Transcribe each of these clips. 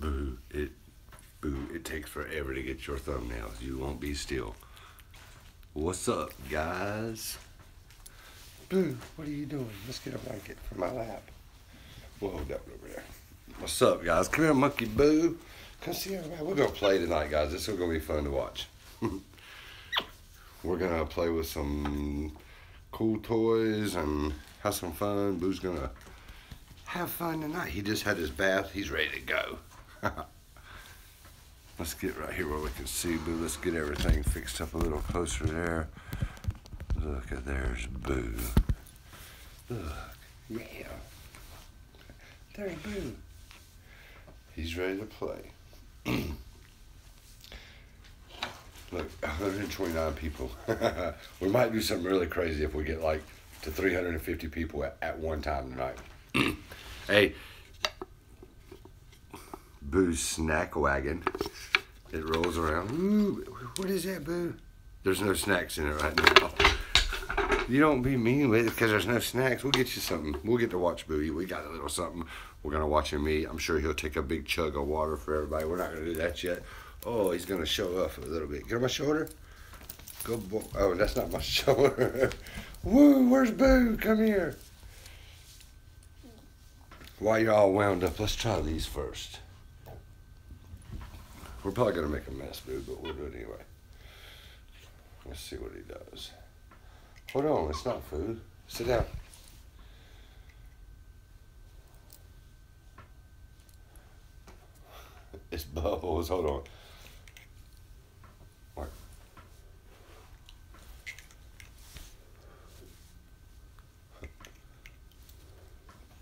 Boo, it boo, it takes forever to get your thumbnails. You won't be still. What's up, guys? Boo, what are you doing? Let's get a blanket for my lap. We'll hold that over there. What's up, guys? Come here, monkey boo. Come see everybody. We're gonna play tonight, guys. This is gonna be fun to watch. We're gonna play with some cool toys and have some fun. Boo's gonna have fun tonight. He just had his bath. He's ready to go. Let's get right here where we can see Boo. Let's get everything fixed up a little closer there. Look, at there's Boo. Look, yeah. There, Boo. He's ready to play. Look, 129 people. we might do something really crazy if we get like to 350 people at, at one time tonight. hey, Boo's snack wagon. It rolls around. Ooh, what is that, Boo? There's no snacks in it right now. You don't be mean with it because there's no snacks. We'll get you something. We'll get to watch Boo We got a little something. We're going to watch him eat. I'm sure he'll take a big chug of water for everybody. We're not going to do that yet. Oh, he's going to show off a little bit. Get on my shoulder. good boy. Oh, that's not my shoulder. Woo, where's Boo? Come here. Why you all wound up, let's try these first. We're probably going to make a mess, Boo, but we'll do it anyway. Let's see what he does. Hold on, it's not food. Sit down. It's bubbles. Hold on. Mark.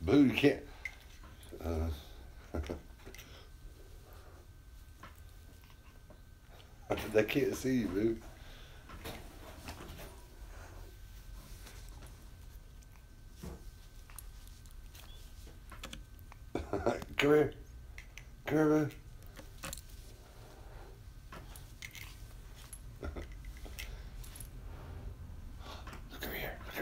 Boo, you can't. Uh, they can't see you, boo. Come here. Come here, Look over here. Look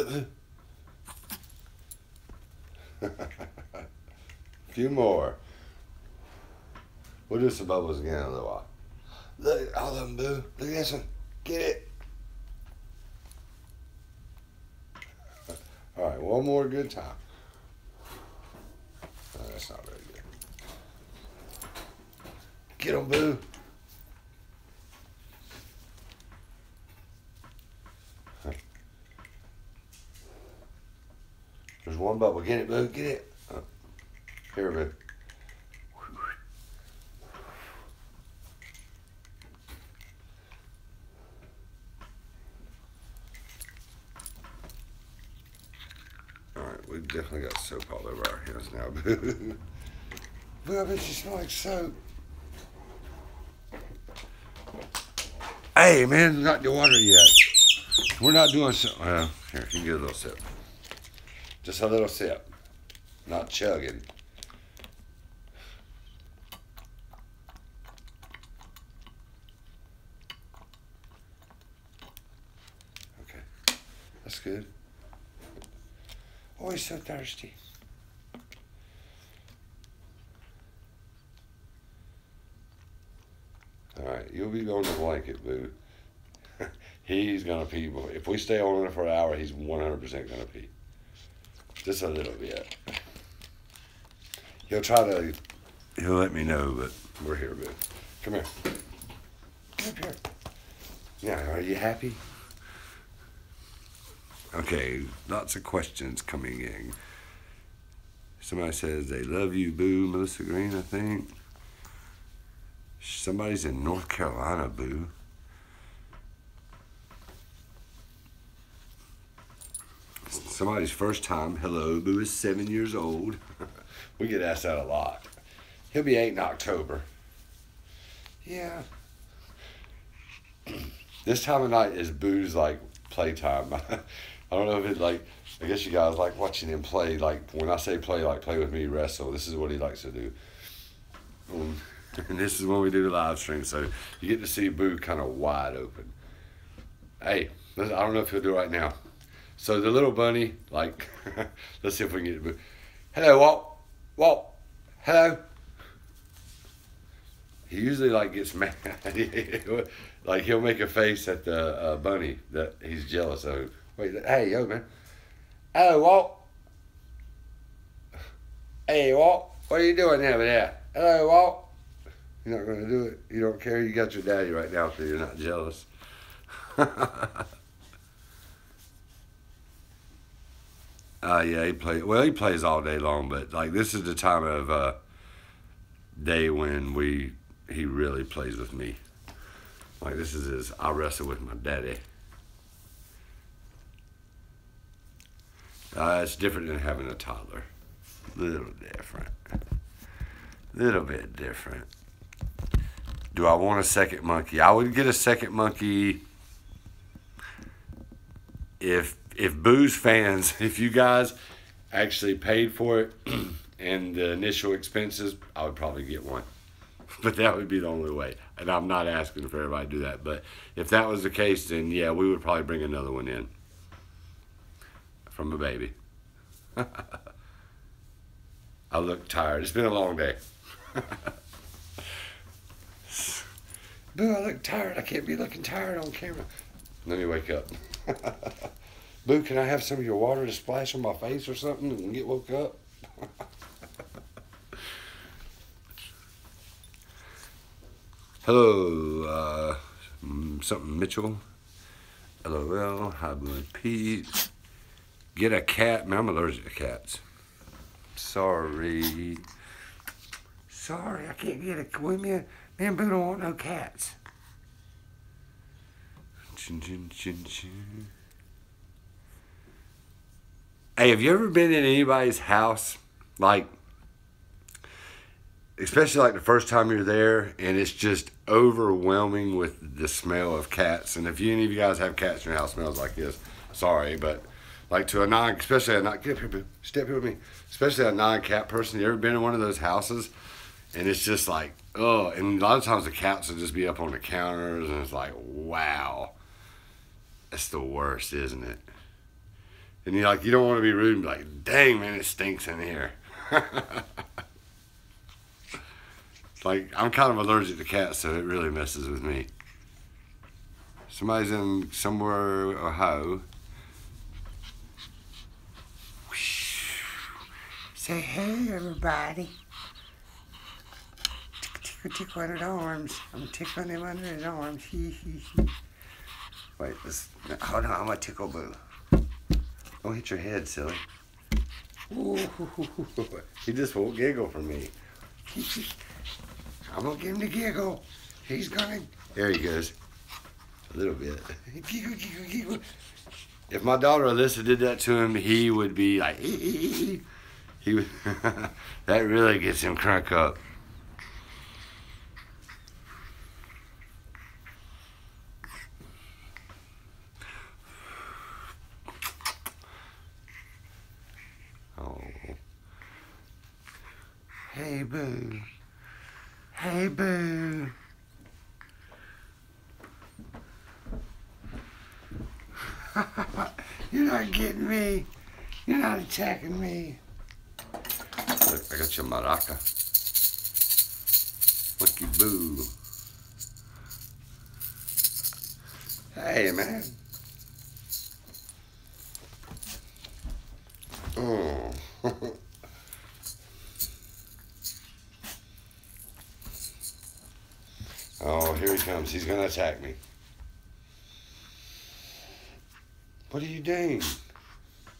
over here. A few more. We'll do some bubbles again in a little while. Look, all of them, boo. Look at this one. Get it. All right, one more good time. that's not very good. Get them, boo. There's one bubble. Get it, boo. Get it. Oh. Here, boo. Alright, we've definitely got soap all over our hands now, boo. boo, I bet you like soap. Hey, man, not the water yet. We're not doing so. Yeah, here, you get a little sip. Just a little sip. Not chugging. Okay, that's good. Always so thirsty. All right, you'll be on the blanket, boo. he's gonna pee. Before. If we stay on it for an hour, he's 100% gonna pee. Just a little bit. He'll try to. He'll let me know, but we're here, boo. Come here. Come here. Yeah, are you happy? Okay, lots of questions coming in. Somebody says they love you, boo, Melissa Green, I think. Somebody's in North Carolina, boo. Somebody's first time, hello, boo is seven years old. we get asked that a lot. He'll be eight in October. Yeah. this time of night is boo's like playtime. I don't know if it's like I guess you guys like watching him play. Like when I say play, like play with me, wrestle. This is what he likes to do. Um, and this is what we do live stream. So you get to see Boo kind of wide open. Hey, I don't know if he'll do it right now. So the little bunny, like, let's see if we can get Boo. Hello, Walt. Walt. Hello. He usually like gets mad like he'll make a face at the uh, bunny that he's jealous of. Wait, hey, yo, man. Hey, Walt. Hey, Walt. What are you doing over there? Hello, Walt. You're not going to do it. You don't care. You got your daddy right now, so you're not jealous. Ah, uh, yeah, he plays. Well, he plays all day long, but like this is the time of uh, day when we he really plays with me. Like this is his I wrestle with my daddy. Uh, it's different than having a toddler. Little different. Little bit different. Do I want a second monkey? I would get a second monkey if if booze fans, if you guys actually paid for it. and the initial expenses, I would probably get one. But that would be the only way. And I'm not asking for everybody to do that. But if that was the case, then yeah, we would probably bring another one in from a baby. I look tired. It's been a long day. Boo, I look tired. I can't be looking tired on camera. Let me wake up. Boo, can I have some of your water to splash on my face or something and get woke up? Hello, uh, mm, something Mitchell. LOL, hi, Pete. Get a cat. Man, I'm allergic to cats. Sorry. Sorry, I can't get a. Wait a Man, Boo don't want no cats. Hey, have you ever been in anybody's house? Like, especially like the first time you're there and it's just overwhelming with the smell of cats. And if any of you guys have cats in your house smells like this, sorry, but like to a non, especially a non, get up here, step here with me, especially a non-cat person. You ever been in one of those houses and it's just like, oh, and a lot of times the cats will just be up on the counters, and it's like, wow, that's the worst, isn't it? And you're like, you don't want to be rude, like, dang man, it stinks in here. like I'm kind of allergic to cats, so it really messes with me. Somebody's in somewhere Ohio. Say hey, everybody. Tickle, tickle on his arms. I'm tickling him under his arms. He, he, he. Wait, let's, hold on, I'm going tickle Boo. Don't hit your head, silly. Ooh, he just won't giggle for me. I'm gonna get him the giggle. He's gonna. There he goes. A little bit. Giggle, giggle, giggle if my daughter Alyssa did that to him, he would be like, ee, ee, ee. he would, that really gets him crank up. Oh. Hey, boo. Hey, boo. You're not getting me. You're not attacking me. I got your maraca. Lucky boo. Hey, man. Oh. Oh, here he comes. He's going to attack me. What are you doing?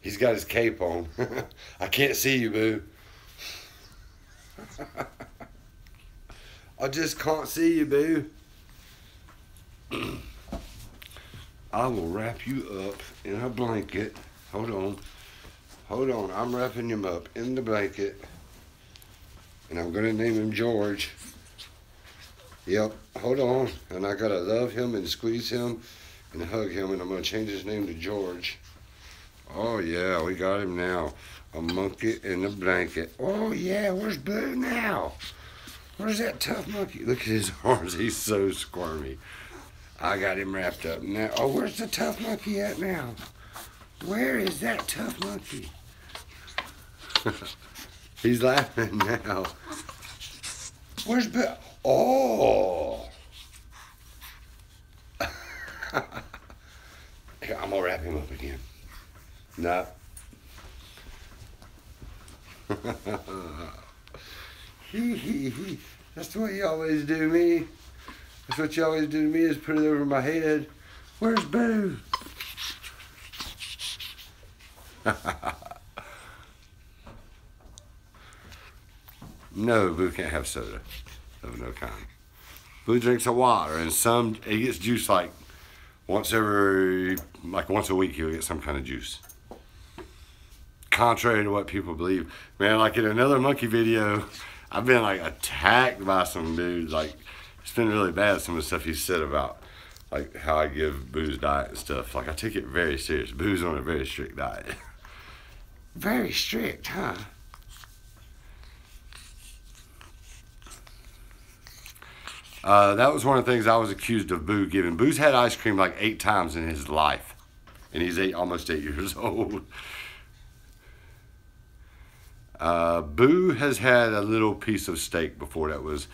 He's got his cape on. I can't see you, boo. I just can't see you, boo. I will wrap you up in a blanket. Hold on. Hold on, I'm wrapping him up in the blanket. And I'm gonna name him George. Yep, hold on. And I gotta love him and squeeze him and hug him and I'm gonna change his name to George. Oh yeah, we got him now. A monkey in a blanket. Oh yeah, where's Boo now? Where's that tough monkey? Look at his arms, he's so squirmy. I got him wrapped up now. Oh, where's the tough monkey at now? Where is that tough monkey? He's laughing now. Where's Bill? Oh! I'm gonna wrap him up again. No. he, he, he. That's the way you always do me. That's what you always do to me is put it over my head. Where's Boo? no, Boo can't have soda of no kind. Boo drinks a water and some, he gets juice like once every, like once a week he'll get some kind of juice. Contrary to what people believe, man, like in another monkey video, I've been like attacked by some dudes. Like, it's been really bad, some of the stuff he said about like how I give booze diet and stuff. Like, I take it very serious. Booze on a very strict diet. very strict, huh? Uh, that was one of the things I was accused of Boo giving. Boo's had ice cream like eight times in his life, and he's eight, almost eight years old. Uh, Boo has had a little piece of steak before that was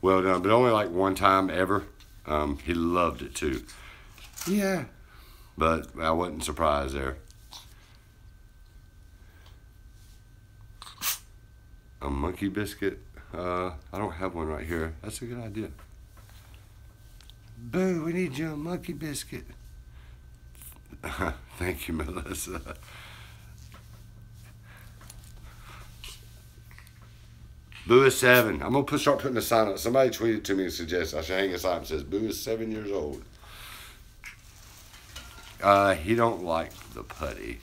well done, but only like one time ever. Um, he loved it too. Yeah, but I wasn't surprised there. A monkey biscuit. Uh, I don't have one right here. That's a good idea. Boo, we need you a monkey biscuit. Thank you, Melissa. Boo is seven. I'm gonna put, start putting a sign up. Somebody tweeted to me and suggested I should hang a sign that says Boo is seven years old. Uh, he don't like the putty.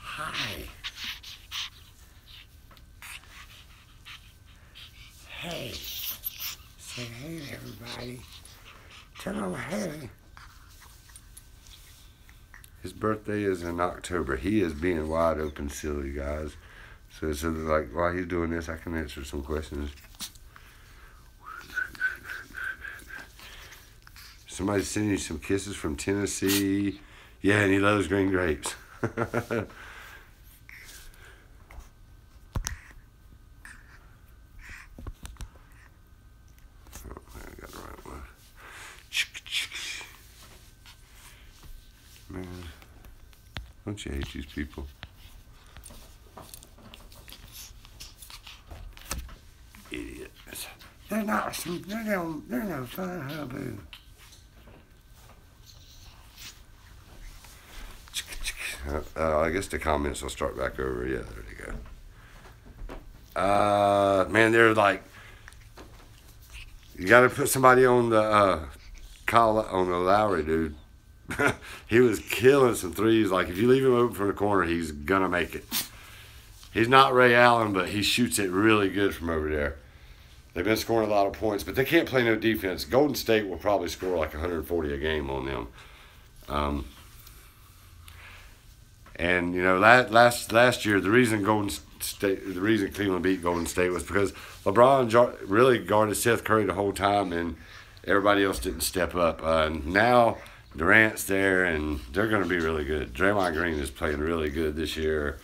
Hi. Hey. Say hey everybody. Tell them hey. His birthday is in October. He is being wide open silly, guys. So, so like, while he's doing this, I can answer some questions. Somebody's sending you some kisses from Tennessee. Yeah, and he loves green grapes. Oh, I got the right one. Man, don't you hate these people? Idiots. They're not, they're no, they're no fun hubby. Uh, I guess the comments will start back over. Yeah, there we go. Uh, man, they're like, you got to put somebody on the uh, on the Lowry, dude. he was killing some threes. Like if you leave him open from the corner, he's gonna make it. He's not Ray Allen, but he shoots it really good from over there. They've been scoring a lot of points, but they can't play no defense. Golden State will probably score like 140 a game on them. Um, and you know, last last year, the reason Golden State, the reason Cleveland beat Golden State was because LeBron really guarded Seth Curry the whole time, and everybody else didn't step up. Uh, now Durant's there, and they're going to be really good. Draymond Green is playing really good this year.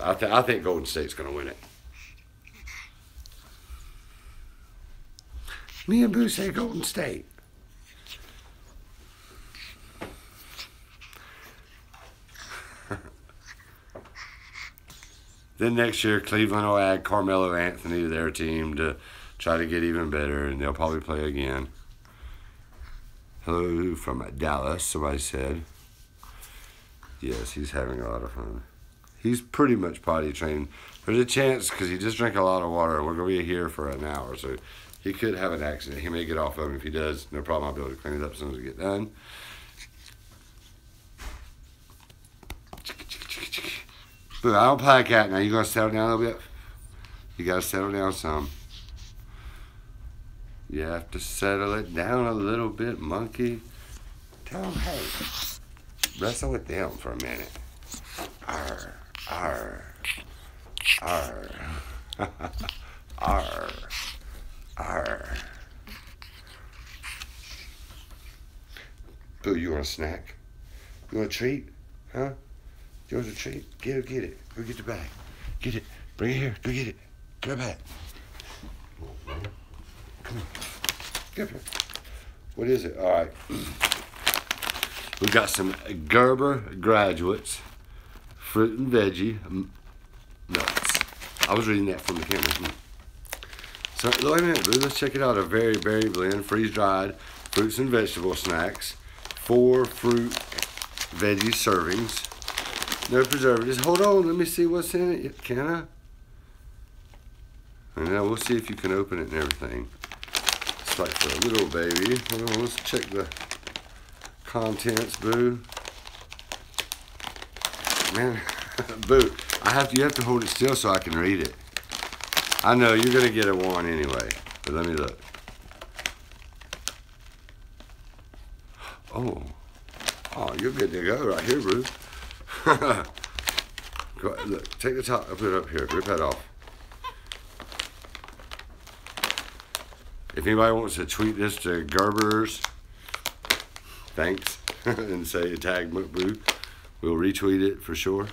I, th- I think Golden State's going to win it. Me and Boo say Golden State. then next year, Cleveland will add Carmelo Anthony to their team to try to get even better, and they'll probably play again. Hello from Dallas, somebody said. Yes, he's having a lot of fun. He's pretty much potty trained. There's a chance because he just drank a lot of water. We're gonna be here for an hour, so he could have an accident. He may get off of him. If he does, no problem. I'll be able to clean it up as soon as we get done. Look, I don't play cat now. You gonna settle down a little bit? You gotta settle down some. You have to settle it down a little bit, monkey. Tell them, hey, wrestle with them for a minute. Arr, arr, arr, arr, arr. Boo, you want a snack? You want a treat? Huh? You want a treat? Go get it. Go get the bag. Get it. Bring it here. Go get it. Get it. Come here. Grab here. What is it? All right. We've got some Gerber graduates, fruit and veggie um, nuts. I was reading that from the camera. So, wait a minute, Let's check it out. A very very blend, freeze dried fruits and vegetable snacks, four fruit veggie servings, no preservatives. Hold on, let me see what's in it. Can I? And now we'll see if you can open it and everything. It's like a little baby. let's check the contents, boo. Man, boo, I have to, you have to hold it still so I can read it. I know you're gonna get a one anyway, but let me look. Oh. Oh, you're good to go right here, Ruth. Look, take the top and put it up here. Rip that off. If anybody wants to tweet this to Garbers, thanks, and say tag Boo. we'll retweet it for sure.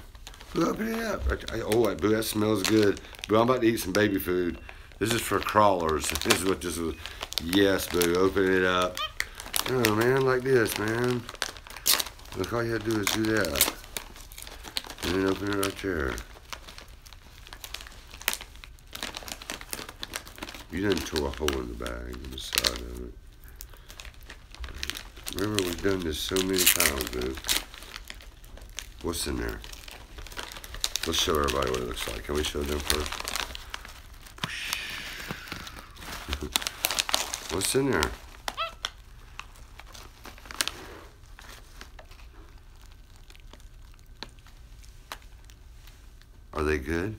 Boo, open it up. Oh, Boo, that smells good. Boo, I'm about to eat some baby food. This is for crawlers. This is what this is. Yes, Boo, open it up. No, man, like this, man. Look, all you have to do is do that. And then open it right there. You didn't tore a hole in the bag, in the side of it. Remember, we've done this so many times, dude. What's in there? Let's show everybody what it looks like. Can we show them first? What's in there? Are they good?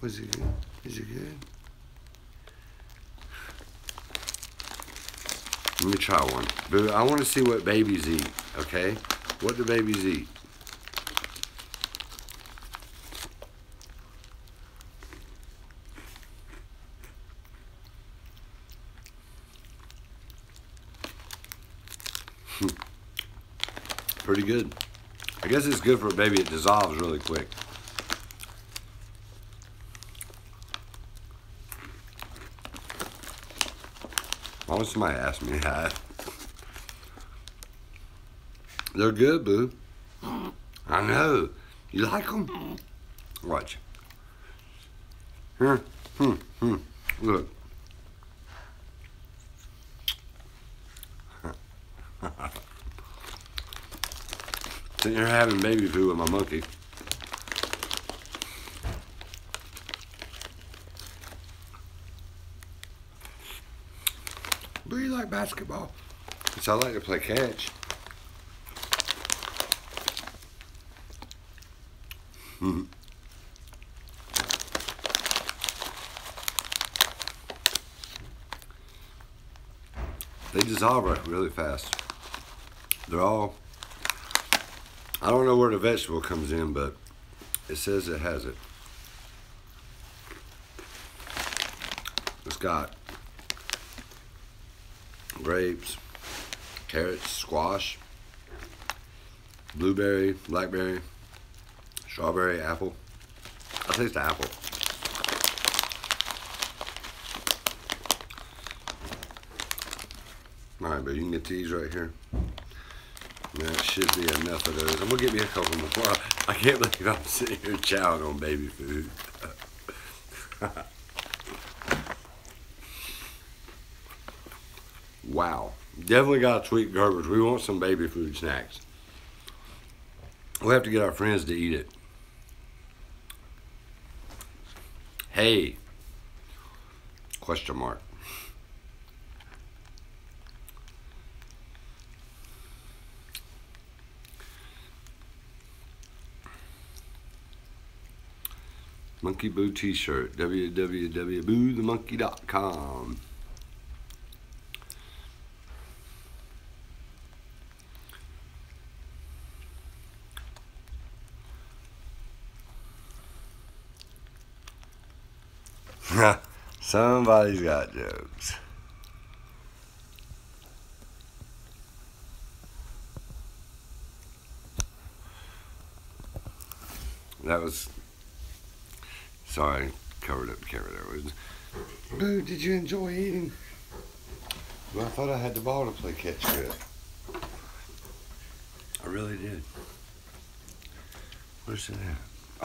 Was it good? Is it good? Let me try one. I want to see what babies eat, okay? What do babies eat? Hmm. Pretty good. I guess it's good for a baby. It dissolves really quick. Why would somebody ask me that? They're good, boo. I know. You like them? Watch. Hmm, hmm, hmm. Look. So you're having baby food with my monkey. Do you like basketball? Because I like to play catch. hmm they dissolve really fast. They're all, I don't know where the vegetable comes in, but it says it has it. It's got grapes, carrots, squash, blueberry, blackberry, strawberry, apple. I taste the apple. All right, but you can get these right here. That should be enough of those. I'm gonna give me a couple more. I can't believe I'm sitting here chowing on baby food. wow. Definitely got sweet garbage. We want some baby food snacks. We'll have to get our friends to eat it. Hey. Question mark. Monkey Boo t-shirt, www.boothemonkey.com. Somebody's got jokes. That was. Sorry, covered up the camera. There Boo, did you enjoy eating? Well, I thought I had the ball to play catch with. I really did. Where's it at?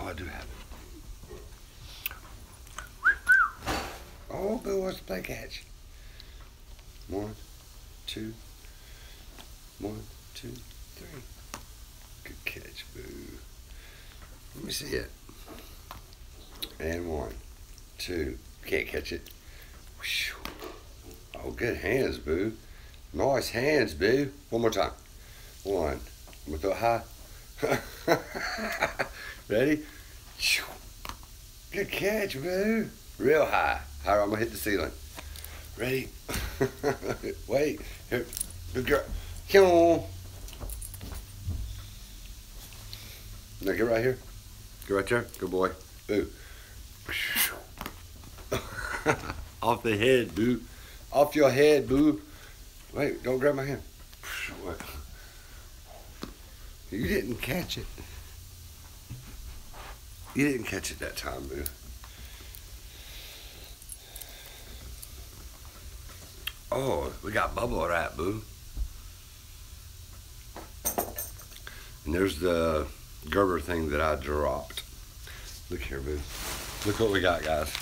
Oh, I do have it. Oh, who wants to play catch? One, two, one, two, three. Good catch, boo. Let me see it. And one two. Can't catch it. Oh, good hands, boo. Nice hands, boo. One more time. One. I'm going high. Ready? Good catch, boo. Real high. Higher. I'm gonna hit the ceiling. Ready? Wait. Here. Good girl. Come on. Now get right here. Get right there. Good boy. Boo. Off the head, boo. Off your head, boo. Wait, don't grab my hand. You didn't catch it. You didn't catch it that time, boo. Oh, we got bubble right, boo. And there's the Gerber thing that I dropped. Look here, boo. Look what we got, guys.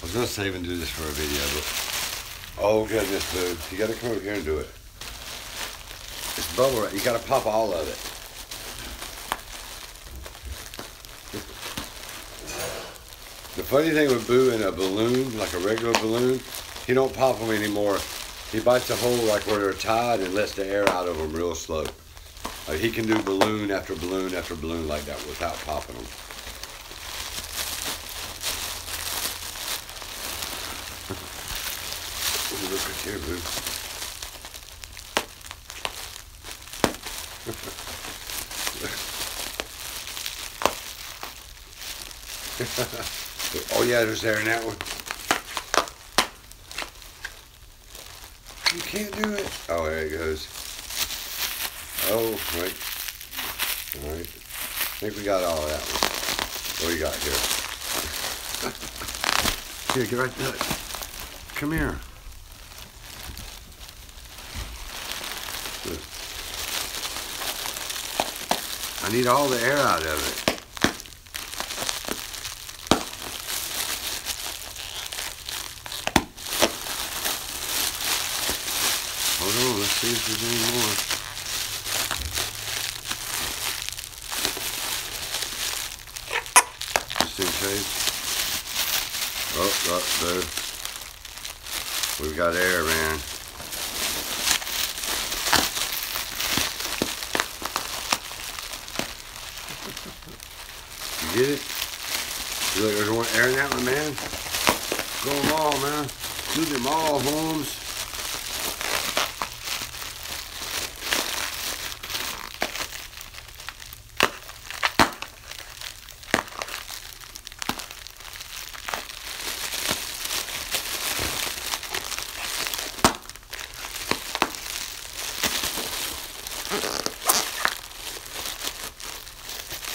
I was gonna save and do this for a video, but oh goodness, boo. You gotta come over here and do it. It's bubble wrap. You gotta pop all of it. The funny thing with Boo in a balloon, like a regular balloon, he don't pop them anymore. He bites a hole like where they're tied and lets the air out of them real slow. Like uh, he can do balloon after balloon after balloon like that without popping them. Look at here, boo. oh yeah, there's there in that one. You can't do it. Oh, there it goes. Oh, right. All right. I think we got all of that What do you got here? here, get right there. Come here. I need all the air out of it. Hold on, let's see if there's any more. Just in case. Oh, up oh, We've got air, man you did it? You like there's one airing that one, man? Go them all, man. Do them all, Holmes.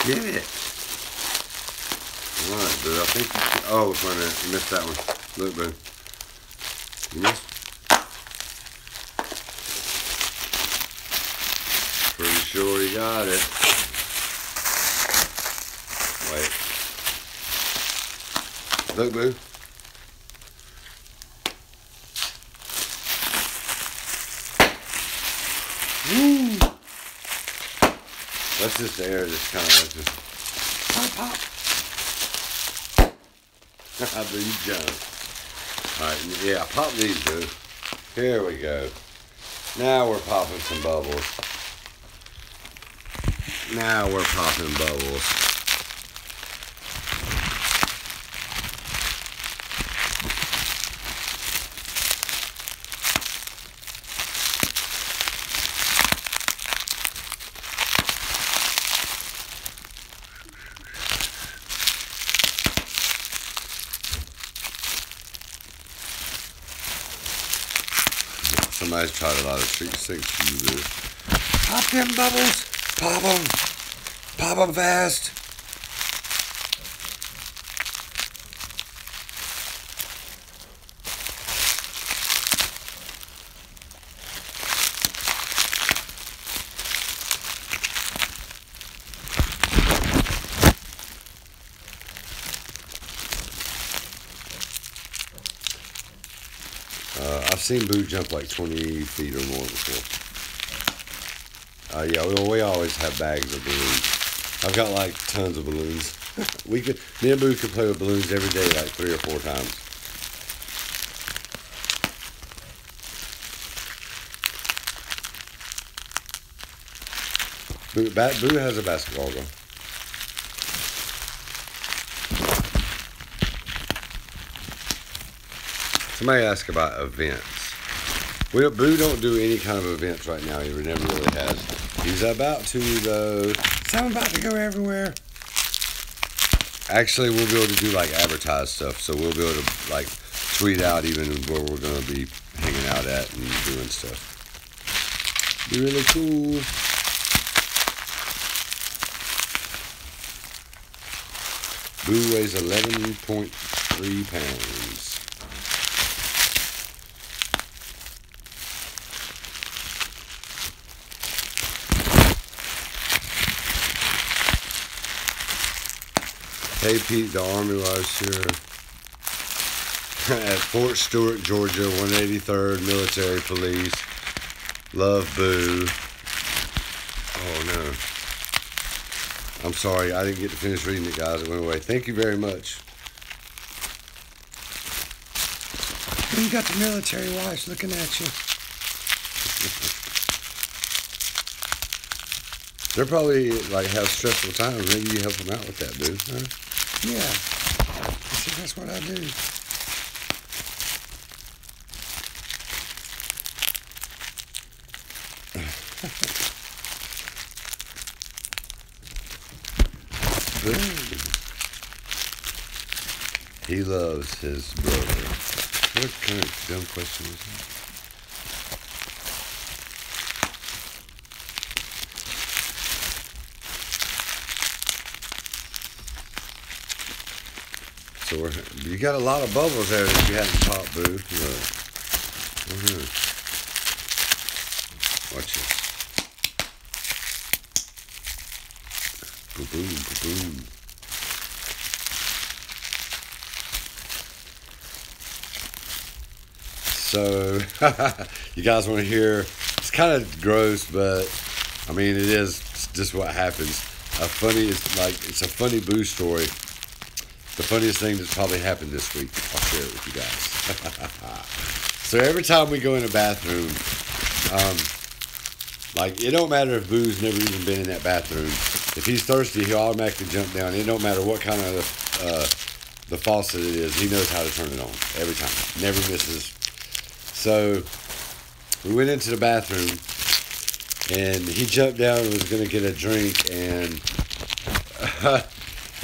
Get it. Alright, but I think you should, oh, it's right there. You missed that one. Look, boo. You missed. Pretty sure you got it. Wait. Look, Boo. Woo! Let's just air this kind of just pop pop. I do you jump. Alright, yeah, pop these, dude. Here we go. Now we're popping some bubbles. Now we're popping bubbles. Somebody's tried a lot of Street 6 users. Pop them bubbles! Pop them! Pop them fast! Uh, I've seen Boo jump like 20 feet or more before. Uh, yeah, we, we always have bags of balloons. I've got like tons of balloons. we could, me and could play with balloons every day, like three or four times. Boo, Boo has a basketball goal. Somebody asked about events. Well, do Boo don't do any kind of events right now. He never really has. He's about to, though. So I'm about to go everywhere. Actually, we'll be able to do, like, advertise stuff. So we'll be able to, like, tweet out even where we're going to be hanging out at and doing stuff. Be really cool. Boo weighs 11.3 pounds. Hey Pete, the Army Life here. at Fort Stewart, Georgia, 183rd Military Police. Love, Boo. Oh, no. I'm sorry. I didn't get to finish reading it, guys. It went away. Thank you very much. You got the military wives looking at you. They're probably, like, have stressful times. Maybe you help them out with that, dude. Yeah. See, that's what I do. he loves his brother. What kind of dumb question was that? So you got a lot of bubbles there that you haven't popped, boo. Uh-huh. Watch this. boom, boom. So, you guys want to hear it's kind of gross, but I mean, it is just what happens. A funny, it's like, it's a funny boo story. The funniest thing that's probably happened this week. I'll share it with you guys. so every time we go in a bathroom, um, like it don't matter if Boo's never even been in that bathroom. If he's thirsty, he'll automatically jump down. It don't matter what kind of uh, the faucet it is, he knows how to turn it on every time. Never misses. So we went into the bathroom and he jumped down and was going to get a drink. And,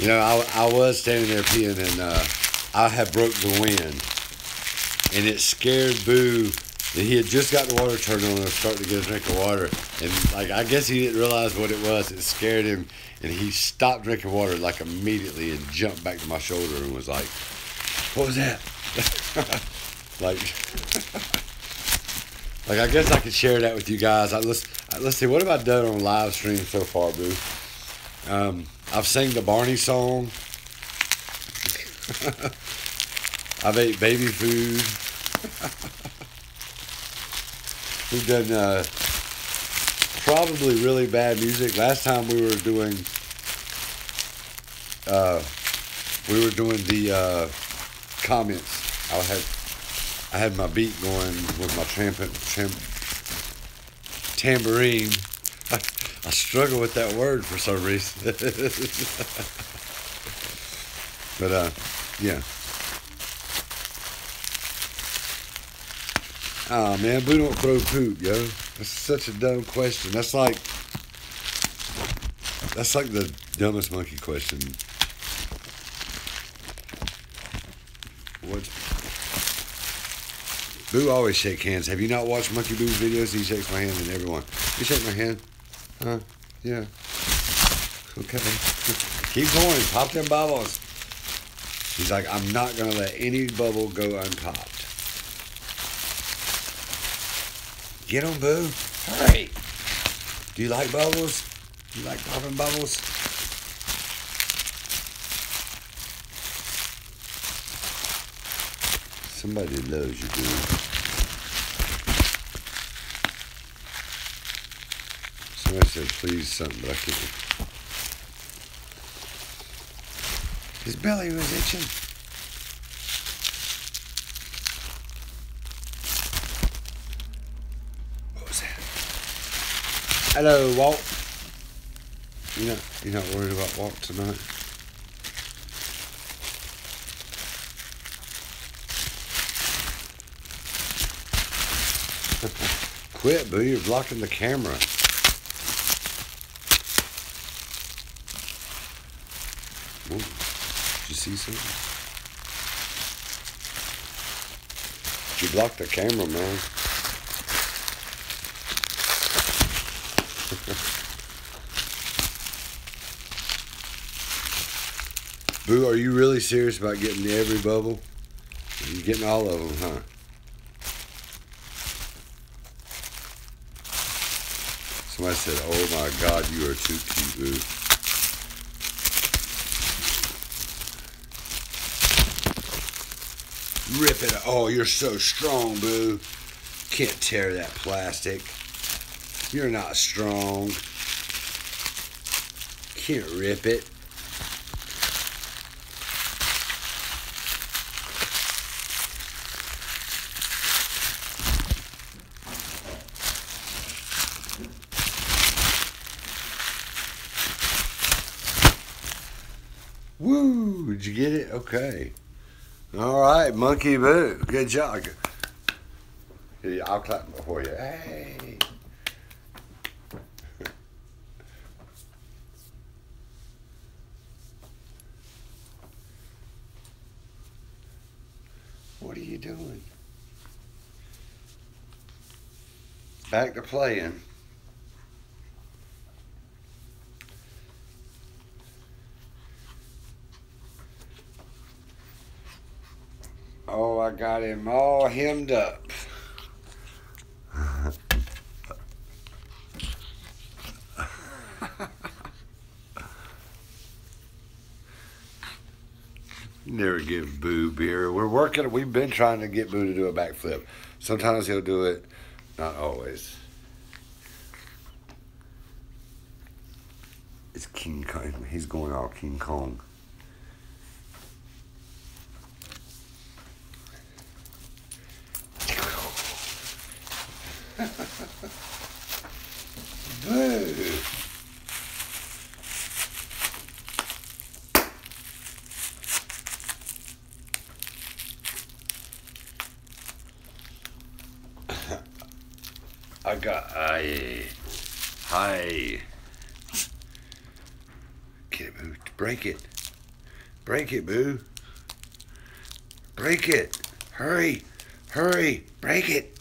you know, I, I was standing there peeing and uh, I had broke the wind. And it scared Boo that he had just got the water turned on and was starting to get a drink of water. And, like, I guess he didn't realize what it was. It scared him. And he stopped drinking water, like, immediately and jumped back to my shoulder and was like, "What was that?" like, like I guess I could share that with you guys. I, let's let's see what have I done on live stream so far, boo. Um, I've sang the Barney song. I've ate baby food. We've done uh, probably really bad music. Last time we were doing uh, we were doing the uh, comments. I had I had my beat going with my trampant tambourine. I, struggle with that word for some reason. but uh, yeah. Oh man, Boo don't throw poop, yo. That's such a dumb question. That's like that's like the dumbest monkey question. What? Boo always shake hands. Have you not watched Monkey Boo's videos? He shakes my hand and everyone. He shakes my hand? Huh? Yeah. Okay. Keep going. Pop them bubbles. He's like, I'm not going to let any bubble go unpopped. Get on, boo. All right. Do you like bubbles? You like popping bubbles? Somebody loves you, dude. Somebody said please something, but I can't. His belly was itching. What was that? Hello, Walt. you not, you're not worried about Walt tonight? Quit, boo. You're blocking the camera. Whoa. Did you see something? You blocked the camera, man. Boo, are you really serious about getting every bubble? You're getting all of them, huh? Somebody said, oh my God, you are too cute, boo. Rip it. Oh, you're so strong, boo. Can't tear that plastic. You're not strong. Can't rip it. Woo! Did you get it? Okay. All right, Monkey Boo. Good job. Yeah, I'll clap before you. Hey! What are you doing? Back to playing. Oh, I got him all hemmed up. Never give Boo beer. We're working. We've been trying to get Boo to do a backflip. Sometimes he'll do it, not always. It's King Kong. He's going all King Kong. Boo! I got a high. Can't move to break it. Break it, boo. Break it. Hurry. Hurry. Break it.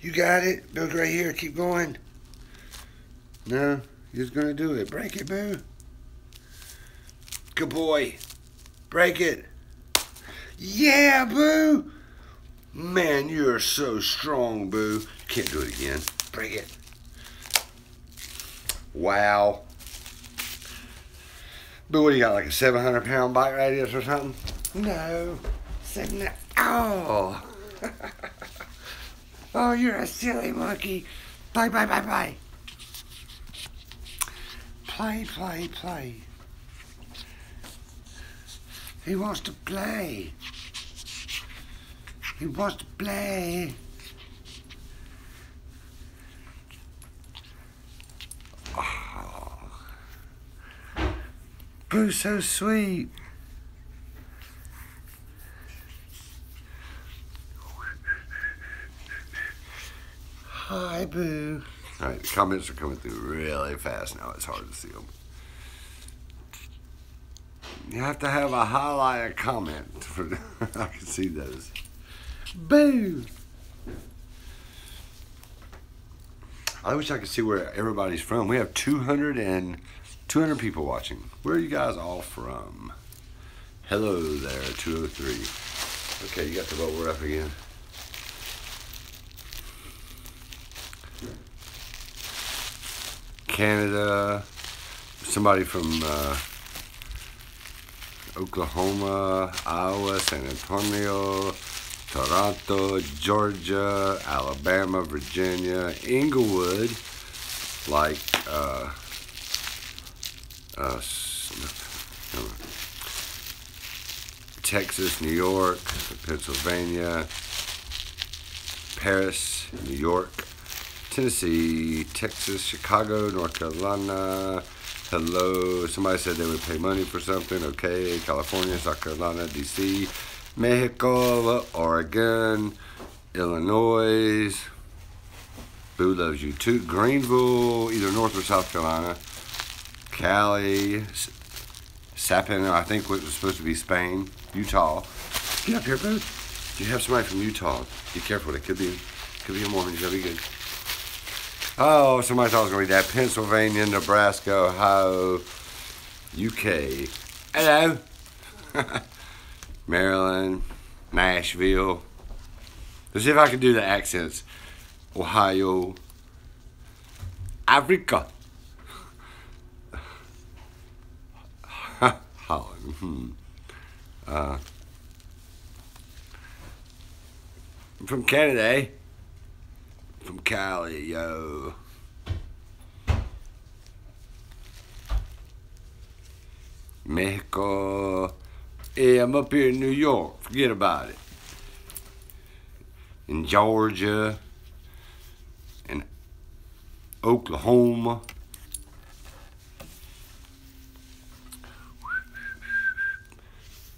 You got it. Build right here. Keep going. No, you're just going to do it. Break it, boo. Good boy. Break it. Yeah, boo. Man, you're so strong, boo. Can't do it again. Break it. Wow. But what do you got, like a 700 pound bite radius or something? No. Seven, oh. oh, you're a silly monkey. Play, play, play, play. Play, play, play. He wants to play. He wants to play. Boo, oh. so sweet. Hi, Boo. All right, the comments are coming through really fast now. It's hard to see them. You have to have a highlight comment. For, I can see those. Boo! I wish I could see where everybody's from. We have 200 and 200 people watching. Where are you guys all from? Hello there, 203. Okay, you got the vote. We're up again. Canada. Somebody from uh, Oklahoma, Iowa, San Antonio, Toronto, Georgia, Alabama, Virginia, Englewood, like uh, uh, Texas, New York, Pennsylvania, Paris, New York, Tennessee, Texas, Chicago, North Carolina, Hello. Somebody said they would pay money for something. Okay. California, South Carolina, D.C., Mexico, Oregon, Illinois. Boo loves you too. Greenville, either North or South Carolina. Cali, Sapin, I think what was supposed to be Spain, Utah. Get up here, boo. You have somebody from Utah. Be careful, it could be could be a Mormon. That'd be good. Oh, somebody thought it was going to be that. Pennsylvania, Nebraska, Ohio, UK. Hello. Maryland, Nashville. Let's see if I can do the accents. Ohio, Africa. Holland. Hmm. Uh, I'm from Canada, eh? From Cali, yo. Mexico. Hey, I'm up here in New York. Forget about it. In Georgia. In Oklahoma.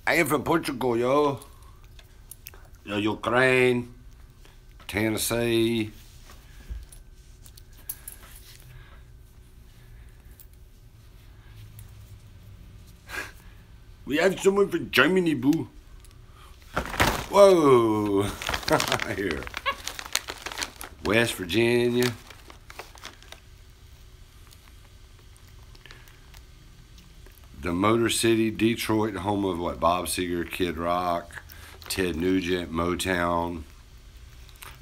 I am from Portugal, yo. Yo, Ukraine, Tennessee. We have someone from Germany, boo. Whoa. Here. West Virginia the Motor City, Detroit, home of what Bob Seger, Kid Rock, Ted Nugent, Motown.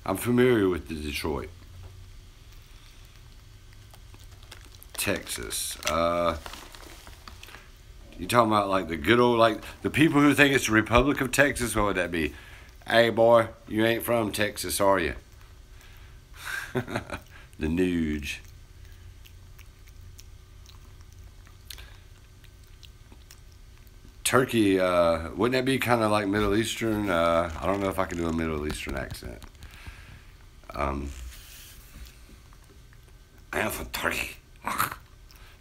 I'm familiar with the Detroit. Texas. Uh, you talking about like the good old like the people who think it's the Republic of Texas? What would that be? Hey boy, you ain't from Texas, are you? the Nuge. Turkey, uh, wouldn't that be kind of like Middle Eastern? Uh, I don't know if I can do a Middle Eastern accent. Um, I am from Turkey.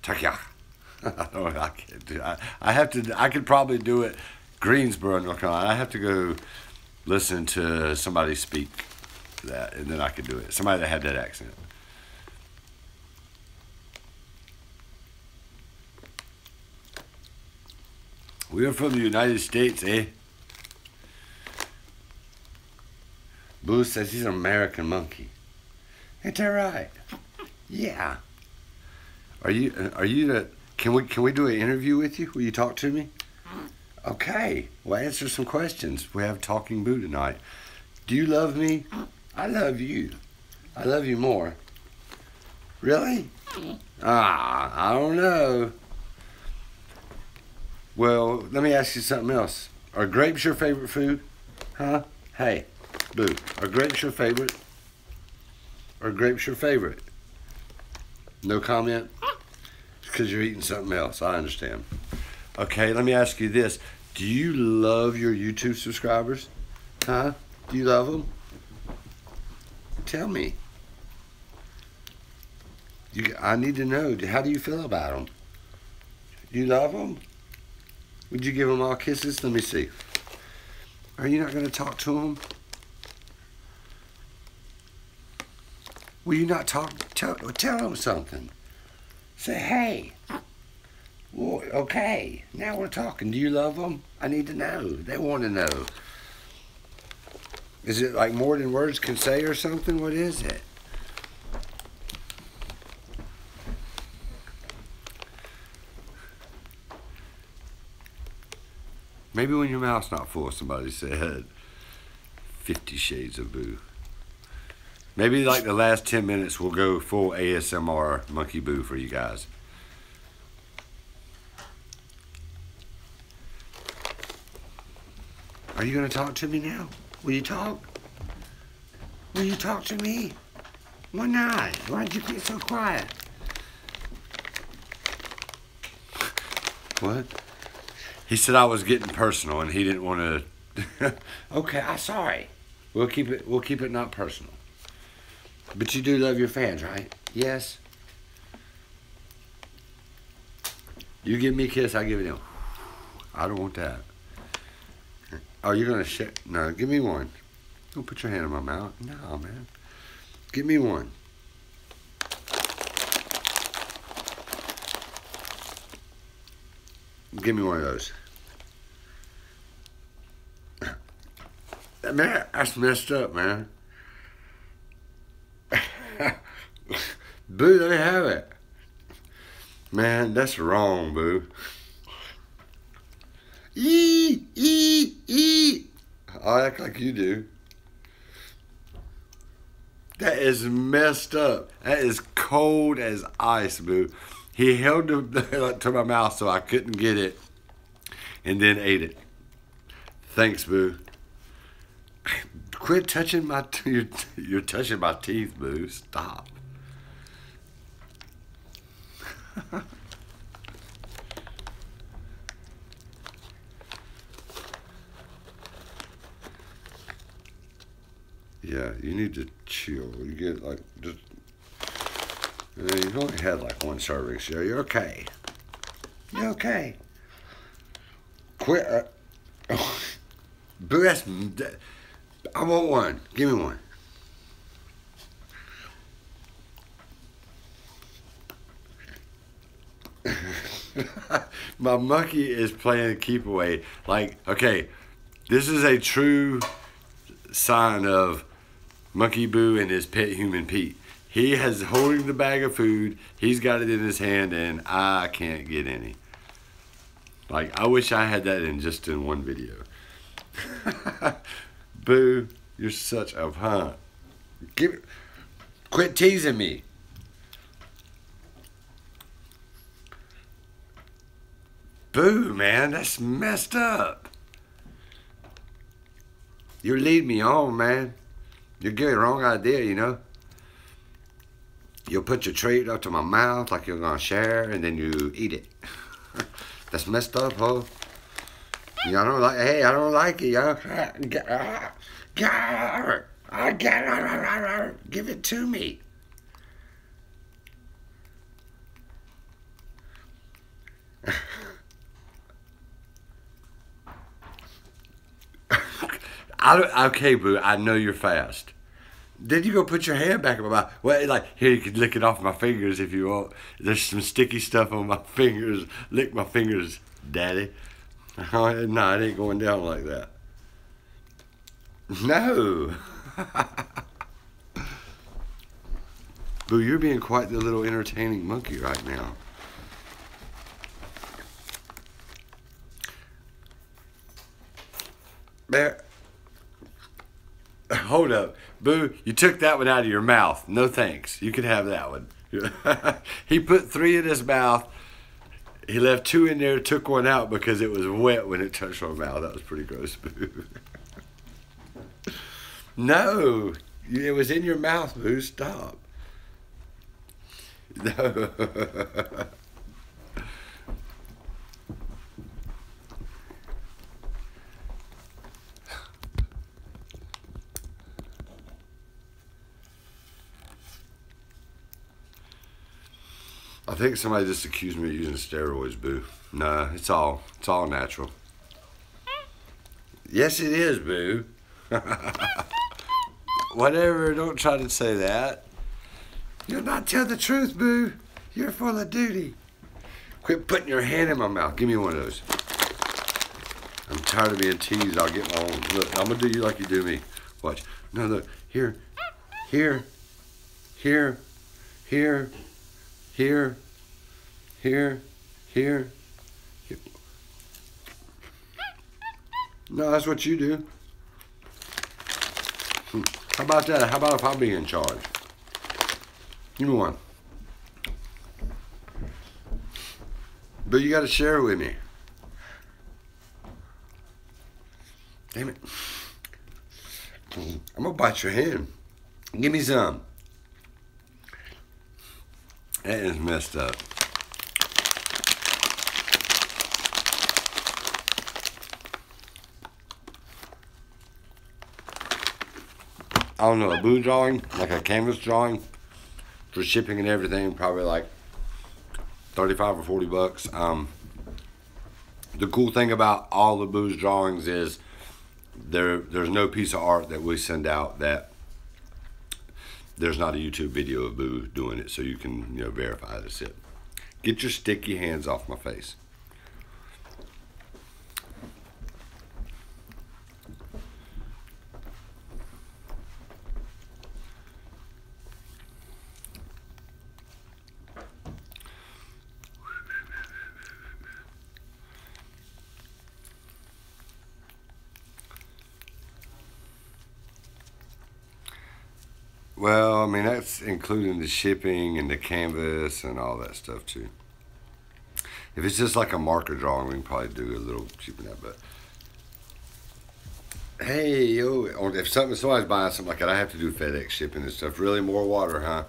Turkey. I can't do. I, I have to. I could probably do it. Greensboro, North Carolina. I have to go listen to somebody speak that, and then I can do it. Somebody that had that accent. We are from the United States, eh? Boo says he's an American monkey. Ain't that right? Yeah. Are you uh, are you the can we can we do an interview with you? Will you talk to me? Okay. we'll answer some questions. We have Talking Boo tonight. Do you love me? I love you. I love you more. Really? Ah, I don't know. Well, let me ask you something else. Are grapes your favorite food? Huh? Hey, Boo, are grapes your favorite? Are grapes your favorite? No comment? because you're eating something else. I understand. Okay, let me ask you this. Do you love your YouTube subscribers? Huh? Do you love them? Tell me. You, I need to know. How do you feel about them? Do you love them? Would you give them all kisses? Let me see. Are you not going to talk to them? Will you not talk, tell, tell them something? Say, hey, well, okay, now we're talking. Do you love them? I need to know. They want to know. Is it like more than words can say or something? What is it? Maybe when your mouth's not full, somebody said Fifty Shades of Boo. Maybe like the last 10 minutes, we'll go full ASMR Monkey Boo for you guys. Are you going to talk to me now? Will you talk? Will you talk to me? Why not? Why'd you get so quiet? What? He said I was getting personal and he didn't want to. okay, I'm sorry. We'll keep it. We'll keep it not personal. But you do love your fans, right? Yes. You give me a kiss, I give it him. I don't want that. Oh, you're gonna shit? No, give me one. Don't put your hand in my mouth. No, man. Give me one. Give me one of those. Man, that's messed up, man. boo, let me have it. Man, that's wrong, boo. Eee, eee, eee. I act like you do. That is messed up. That is cold as ice, boo. He held it to my mouth so I couldn't get it and then ate it. Thanks, boo. Quit touching my teeth. you're touching my teeth, boo. Stop. Yeah, you need to chill. You get like just. You, don't have like one serving, so you're okay. You're okay. Quit. Uh, I want one. Give me one. my monkey is playing keep away. Like, okay, this is a true sign of Monkey Boo and his pet human Pete. He has holding the bag of food. He's got it in his hand, and I can't get any. Like, I wish I had that in just in one video. Boo, you're such a punk. Give it. Quit teasing me. Boo, man, that's messed up. You're leading me on, man. You're giving the wrong idea, you know. you put your treat up to my mouth like you're gonna share, and then you eat it. that's messed up, ho. Y'all don't like. Hey, I don't like it, y'all. I got it. Give it to me. I, okay, boo, I know you're fast. Then you go put your hand back in my mouth. Well, like, here, you can lick it off my fingers if you want. There's some sticky stuff on my fingers. Lick my fingers. Daddy. Oh, no, it ain't going down like that. No. Boo, you're being quite the little entertaining monkey right now. There. Hold up. Boo, you took that one out of your mouth. No thanks. You can have that one. he put three in his mouth. He left two in there, took one out because it was wet when it touched our mouth. That was pretty gross, Boo. no, it was in your mouth, Boo. Stop. No. I think somebody just accused me of using steroids, boo. Nah, it's all it's all natural. Yes, it is, boo. Whatever, don't try to say that. You'll not tell the truth, boo. You're full of duty. Quit putting your hand in my mouth. Give me one of those. I'm tired of being teased. I'll get my own. Look, I'm going to do you like you do me. Watch. No, look, here, here, here, here, here, here, here. here. No, that's what you do. Hmm. How about that? How about if I be in charge? Give me one. But you got to share with me. Damn it. I'm gonna bite your hand. Give me some. That is messed up. I don't know, a blue drawing, like a canvas drawing for shipping and everything, probably like 35 or 40 bucks. Um, the cool thing about all the Boo's drawings is there there's no piece of art that we send out that there's not a YouTube video of Boo doing it so you can you know verify this it. Get your sticky hands off my face. Well, I mean, that's including the shipping and the canvas and all that stuff, too. If it's just like a marker drawing, we can probably do a little cheaper than that, but Hey, yo, if something, somebody's buying something like that, I have to do FedEx shipping and stuff. Really, more water, huh?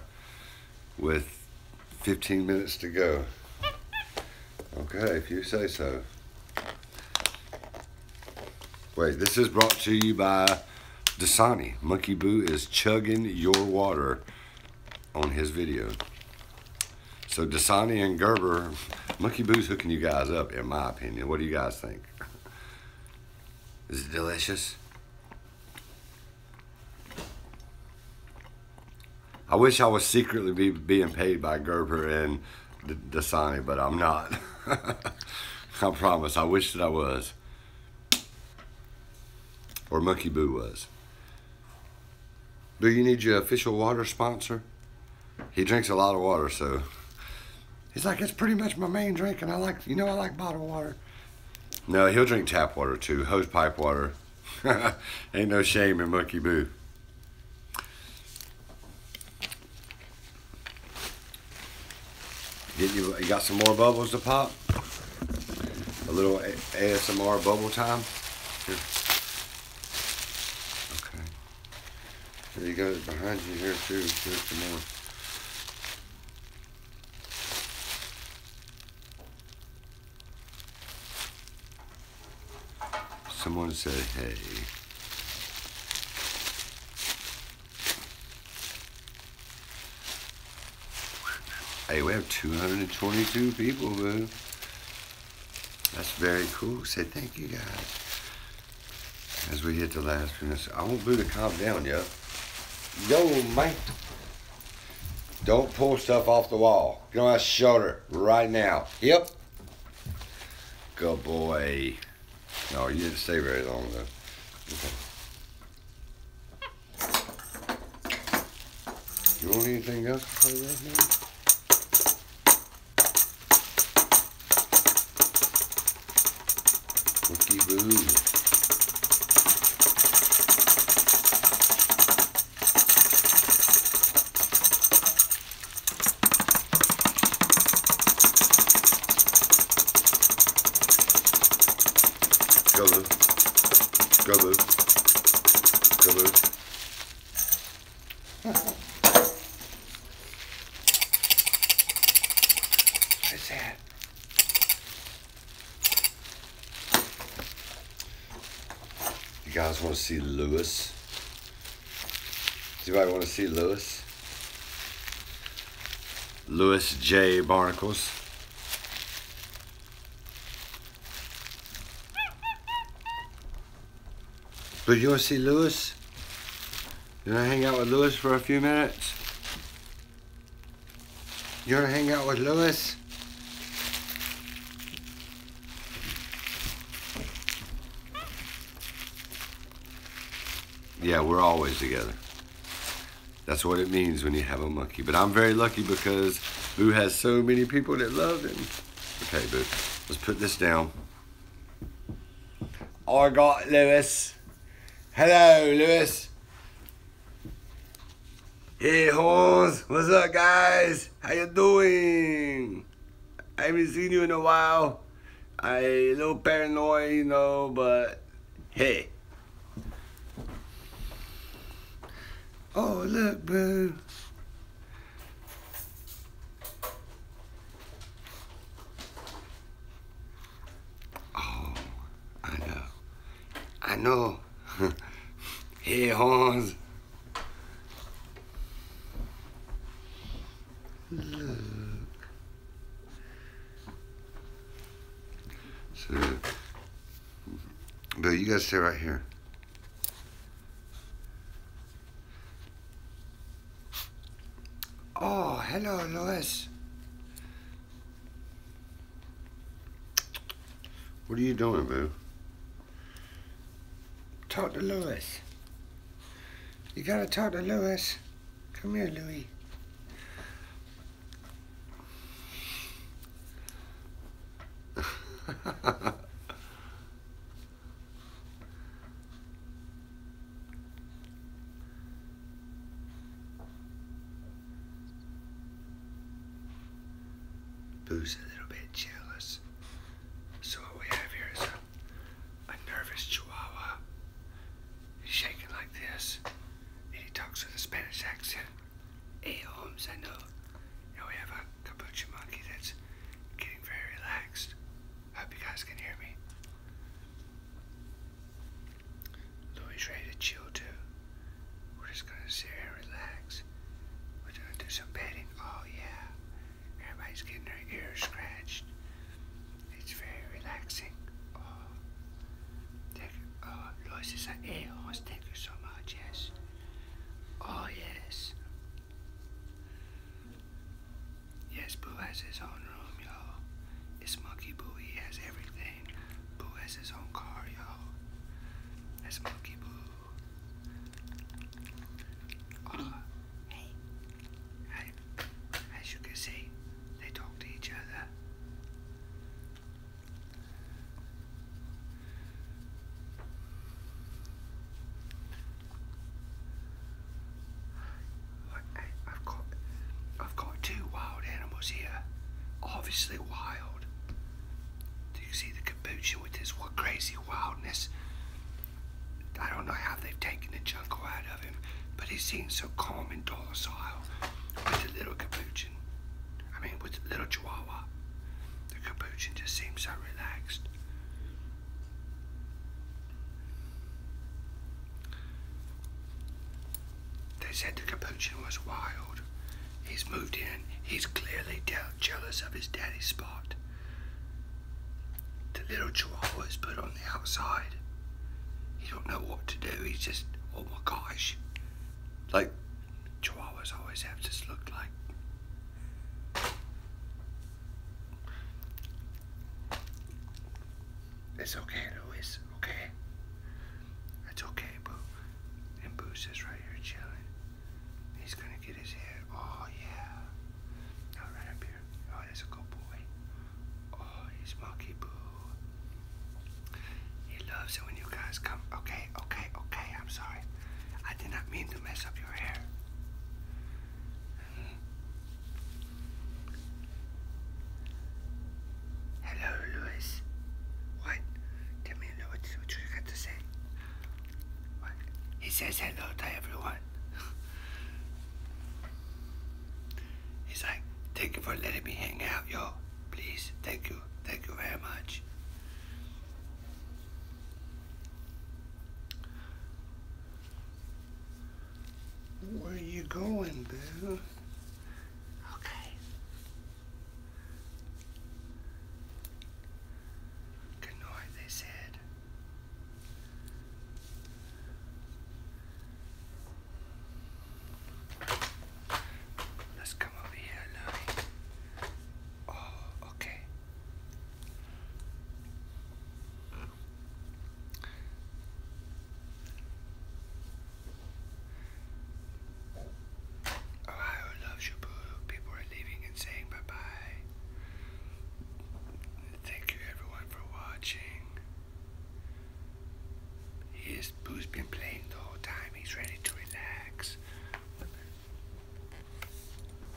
With 15 minutes to go. Okay, if you say so. Wait, this is brought to you by Dasani. Monkey Boo is chugging your water on his video. So Dasani and Gerber Monkey Boo's hooking you guys up, in my opinion. What do you guys think? Is it delicious? I wish I was secretly being paid by Gerber and D Dasani, but I'm not. I promise. I wish that I was. Or Monkey Boo was. Do you need your official water sponsor? he drinks a lot of water, so he's like, it's pretty much my main drink, and I like, you know, I like bottled water. No, he'll drink tap water too, hose pipe water. Ain't no shame in monkey Boo. Get you, you got some more bubbles to pop? A little ASMR bubble time? Okay. You got it behind you here too. Here's some more. Someone said, hey. Hey, we have 222 people, boo. That's very cool. Say thank you, guys as we hit the last finish. I won't blew the comp down yet. Yo, man. Don't pull stuff off the wall. Get on my shoulder right now. Yep. Good boy. No, you didn't stay very long, though. You want anything else to play right now? Bookie Boo. colors, colors, colors. What's that? You guys want to see Lewis? Does anybody want to see Lewis? Lewis J. Barnacles. But you want to see Lewis? Do I hang out with Lewis for a few minutes? You want to hang out with Lewis? Yeah, we're always together. That's what it means when you have a monkey. But I'm very lucky because Boo has so many people that love him. Okay, Boo, let's put this down. I got Lewis. Hello, Lewis. Hey, Horns. What's up, guys? How you doing? I haven't seen you in a while. I a little paranoid, you know, but hey. Oh, look, bro. Oh, I know. I know. hey, Hans. So, Bill, you guys stay right here. Oh, hello, Louis. What are you doing, boo? Talk to Louis. You gotta talk to Louis. Come here, Louis. Boo's a little bit jealous. So what we have here is a, nervous chihuahua. He's shaking like this. And he talks with a Spanish accent. Hey Holmes, I know. And we have a capuchin monkey that's getting very relaxed. Hope you guys can hear me. Louis ready to chill too. We're just gonna sit and relax. We're gonna do some petting. Oh yeah. Everybody's getting their ears scratched. It's very relaxing. Oh, oh Louis is an a horse. Thank you so much. Yes. Oh yes. Yes, Boo has his own room, y'all. It's Monkey Boo. He has everything. Boo has his own car, y'all. That's Monkey Boo. Uh, hey. I, as you can see, they talk to each other. I've got, I've got two wild animals here. Obviously wild. Do you see the capuchin with this crazy wildness? I don't know how they've taken the jungle out of him, but he seems so calm and docile with the little capuchin. I mean, with the little chihuahua. The capuchin just seems so relaxed. They said the Capuchin was wild. He's moved in. He's clearly jealous of his daddy's spot. The little chihuahua is put on the outside. He don't know what to do. He's just, oh my gosh. Like, chihuahuas always have to look like. It's okay, Louis. Okay. It's okay, Boo. And Boo's just right here chilling. He's gonna get his hair. Oh yeah. right up here. Oh, that's a good boy. Oh, he's monkey Boo. He loves it when you guys come. Okay, okay, okay. I'm sorry. I did not mean to mess up your hair. Hello, Louis. What? Tell me what, you got to say. What? He says hello to everyone. He's like, thank you for letting me hang out, yo. Please, thank you. Thank you very much. Where are you going, boo? Okay. Good night, they said. Let's come over here, Louie. Oh, okay. Ohio loves you, boo. People are leaving and saying bye bye. Thank you, everyone, for watching. His Boo's been playing the whole time. He's ready to relax.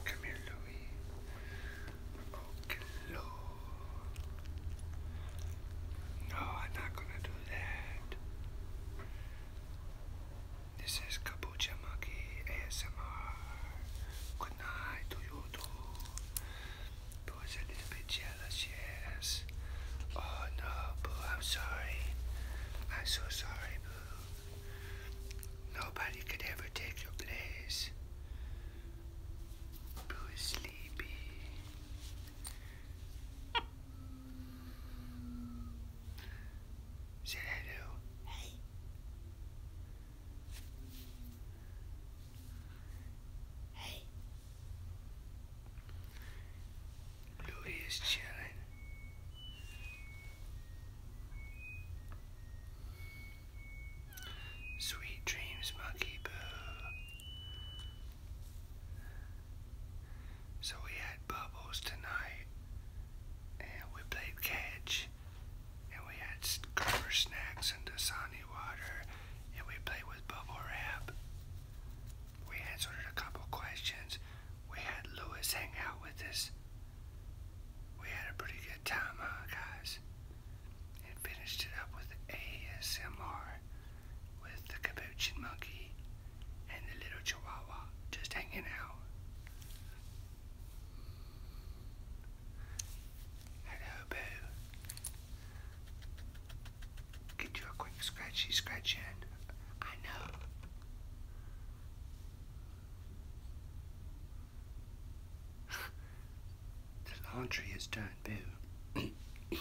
Come here, Louie. Okay, Lord. No, oh, I'm not gonna do that. This is Kabucha Monkey ASMR. Good night to you too. Boo a little bit jealous, yes. Oh no, Boo, I'm sorry. I'm so sorry, Boo. Nobody could ever take your place. Boo sleepy. hello. Hey. Hey. Louis is chilling. Sweet dreams, Monkey Boo. So we had bubbles tonight, and we played catch, and we had cover snacks and Dasani water, and we played with bubble wrap. We answered a couple questions. We had Louis hang out with us. We had a pretty good time, huh, guys? and finished it up with ASMR with the capuchin monkey and the little chihuahua just hanging out. Hello, Boo. Get you a quick scratchy scratch in. I know the laundry is done, boo. Good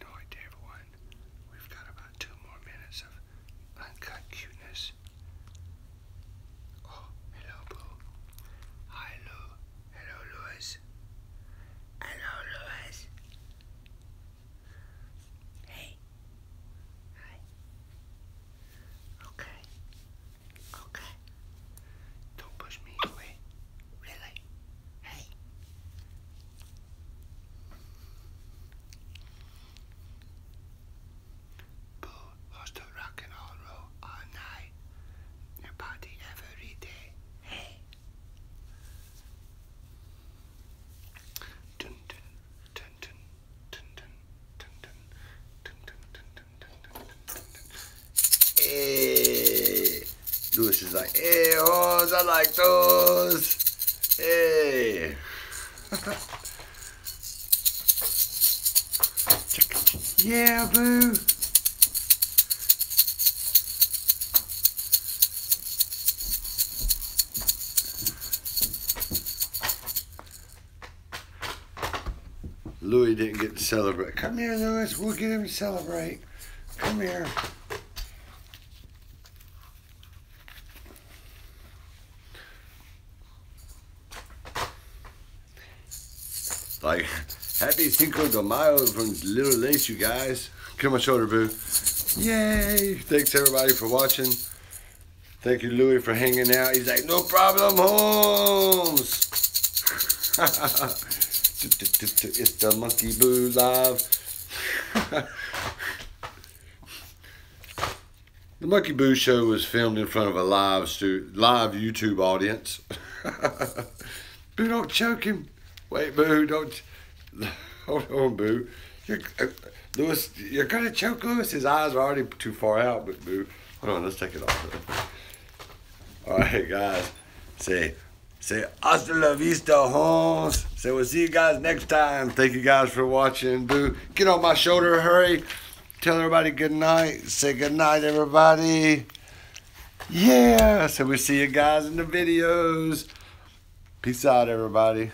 night, everyone. We've got about two more minutes of uncut cuteness. Oh, hello, boo. Hi, Lou. Hello, Louis. Hello, Louis. Hey. Hi. Okay. Okay. Don't push me away. Really? Hey. Boo loves to rock and all roll all night. Your body every day. Hey. Dun dun dun dun dun dun Hey, eh, Lewis is like, hey, eh, Oz, I like those. Hey. Eh. yeah, boo. Louis didn't get to celebrate. Come here, Louis. We'll get him to celebrate. Come here. Like, happy Cinco de Mayo from Little Lace, you guys. Get on my shoulder, boo. Yay! Thanks, everybody, for watching. Thank you, Louis, for hanging out. He's like, no problem, Holmes. it's the Monkey Boo Live. the Monkey Boo Show was filmed in front of a live stu- live YouTube audience. boo, don't choke him. Wait, Boo, don't. Hold on, Boo. Uh, Louis, you're gonna choke Louis. His eyes are already too far out, but Boo. Hold on, let's take it off. All right, guys. Say, say, hasta la vista, homes. Say, we'll see you guys next time. Thank you guys for watching. Boo, get on my shoulder, hurry. Tell everybody good night. Say good night, everybody. Yeah. So we see you guys in the videos. Peace out, everybody.